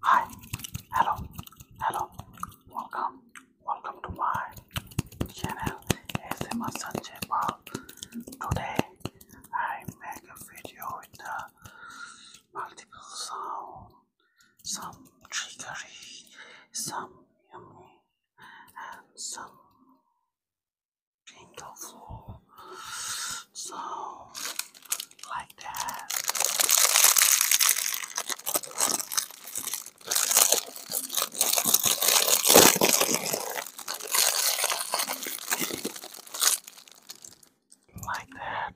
Hi, hello, hello, welcome, welcome to my channel ASMR Sanjay Today I make a video with the uh, multiple sound, some triggery, some yummy, and some so, like that. Like that.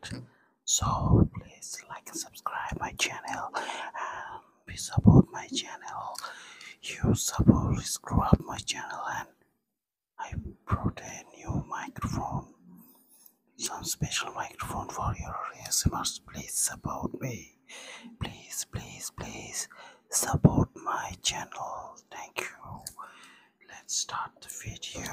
So, please like and subscribe my channel and please support my channel. You support, screw up my channel and I brought a new microphone, some special microphone for your ASMRs. Please support me. Please, please, please support my channel. Thank you. Let's start the video.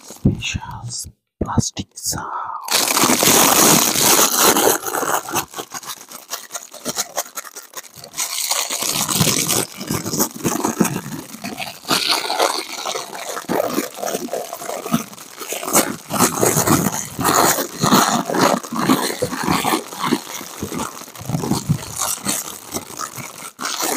specials plastic sound.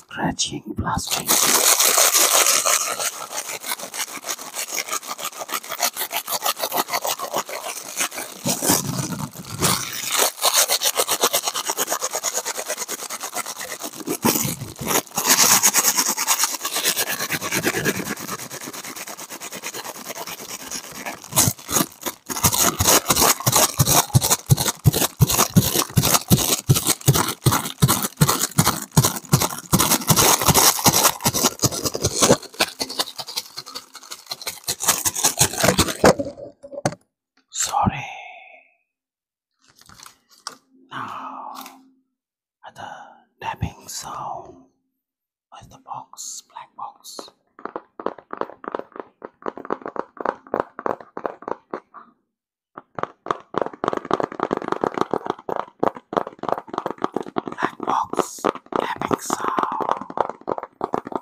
scratching, blasting. Sorry. Now, at the tapping sound with the box, black box. Black box, epic sound.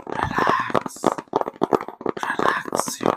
Relax, relax your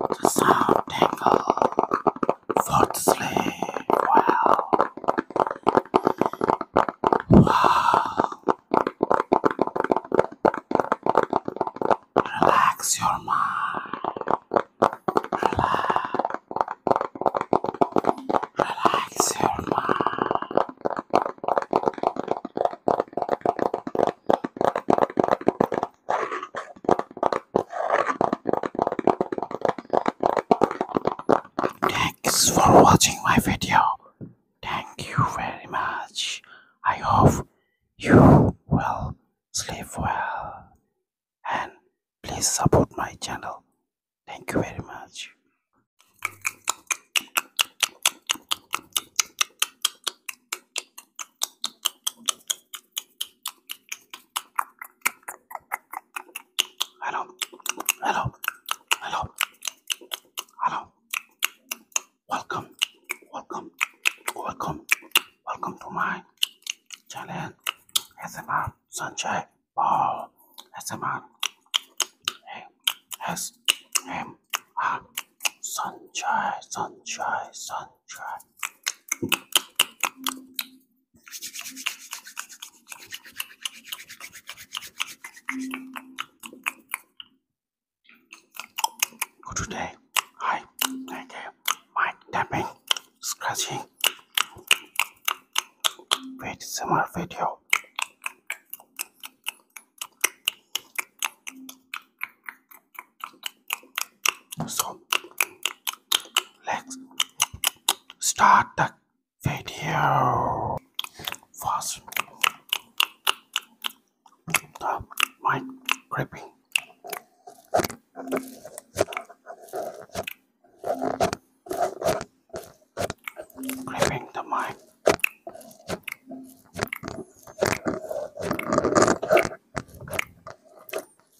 the sound tingle, fall to sleep, wow, relax your mind, relax, relax your mind. Thanks for watching my video. Thank you very much. I hope you will sleep well and please support my channel. Thank you very much. Hello, hello, hello, hello. Welcome, welcome, welcome, welcome to my channel. SMR Sunshine Ball. SMR S M R Sunshine, Sunshine, Sunshine. For today, I like mic tapping, scratching with similar video. So let's start the video first. The mic gripping. Gripping the mic.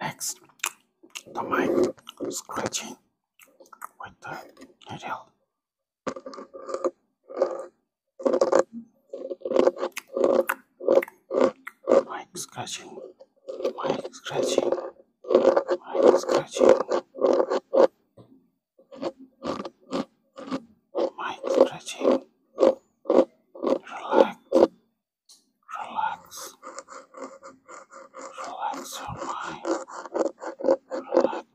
Next, the mic scratching with the needle Mic scratching, mic scratching, mic scratching, mic scratching. Relax, relax, relax your mind. Relax,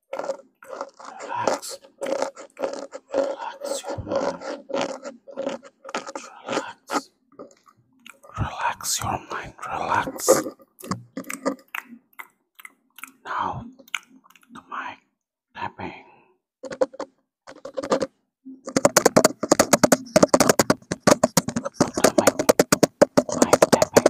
Relax. Relax your mind. Relax. Relax your mind. Relax. Now, the mic tapping. The mic, mic tapping.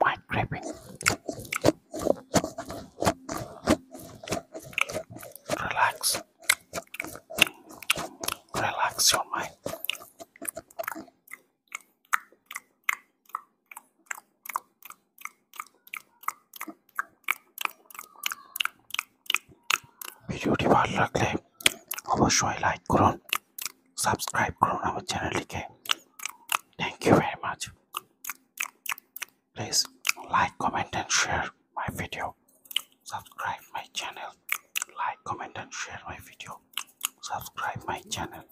white grabbing. Relax. Relax your mind. ভিডিওটি ভালো লাগলে অবশ্যই like করুন subscribe করুন আমার চ্যানেলটিকে thank you very much please like comment and share my video subscribe my channel like comment and share my video subscribe my channel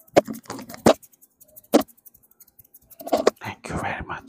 thank you very much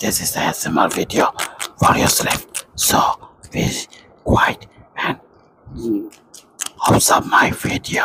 this is a ASMR video for your sleep. So be quiet and observe my video.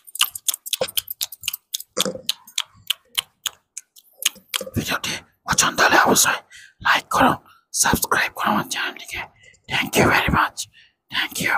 ভিডিওটি পছন্দ হলে অবশ্যই like করুন subscribe করুন আমার চ্যানেলটিকে thank you very much thank you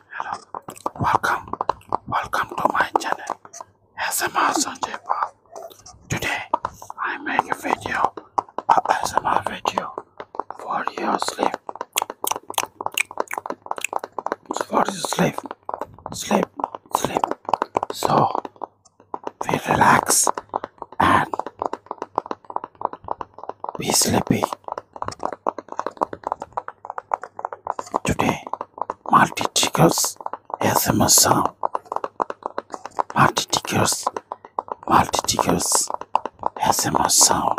Hello, welcome, welcome to my channel ASMR Sanjay Pal. Today I make a video, a ASMR video for your sleep. For your sleep, sleep, sleep. So we relax and we sleepy. Today, multi triggers a sound. Multi triggers, multi triggers ASMR sound.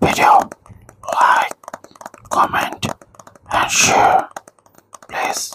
video, like, comment and share please.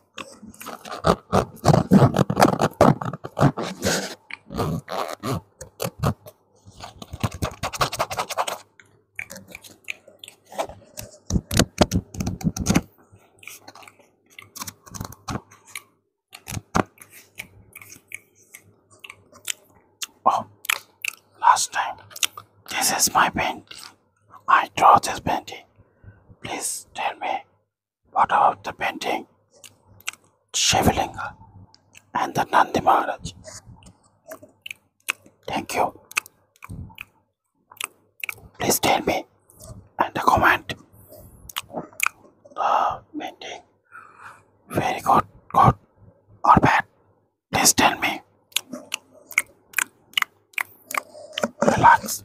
Oh, last time. This is my painting. I draw this painting. Please tell me what about the painting Shivalinga and the Nandi Maharaj? Thank you. Please tell me and the comment. The painting very good, good or bad. Please tell me. Relax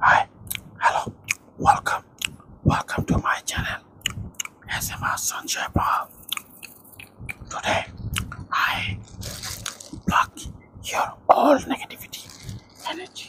Hi, hello, welcome, welcome to my channel SMR Sanjay Today I block your all negativity energy.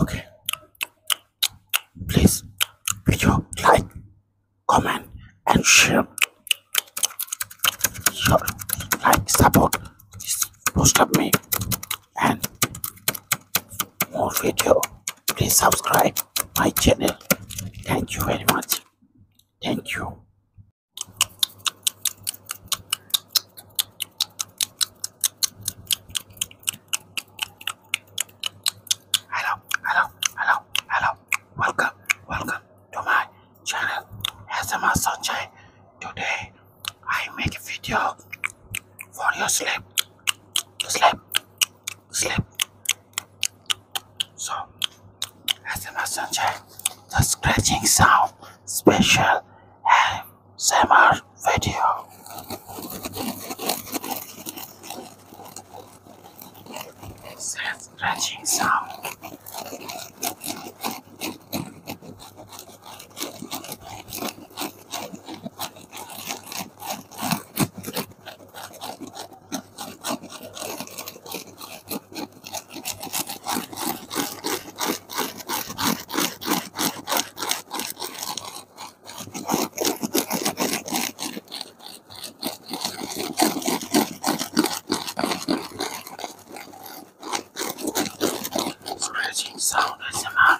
Okay, please video like comment and share sure, like support most of me and more video please subscribe my channel thank you very much thank you hello hello hello hello welcome, welcome to my channel SMR Sunshine. Today I make a video for your sleep, sleep, sleep. So SMR Sunshine, the scratching sound special SMR video. It's a scratching sound. Scratching sound SMR.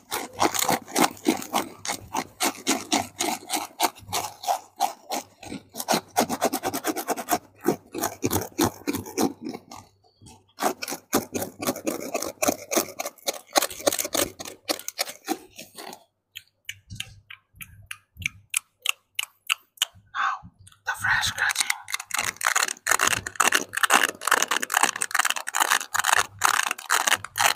Now, the fresh cutting.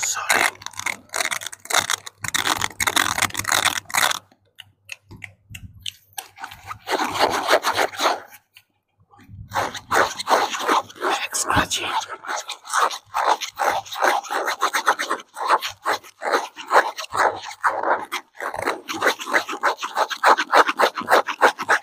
Sorry. Back scratching.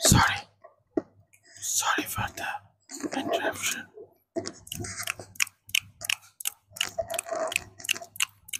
Sorry. Sorry for the interruption.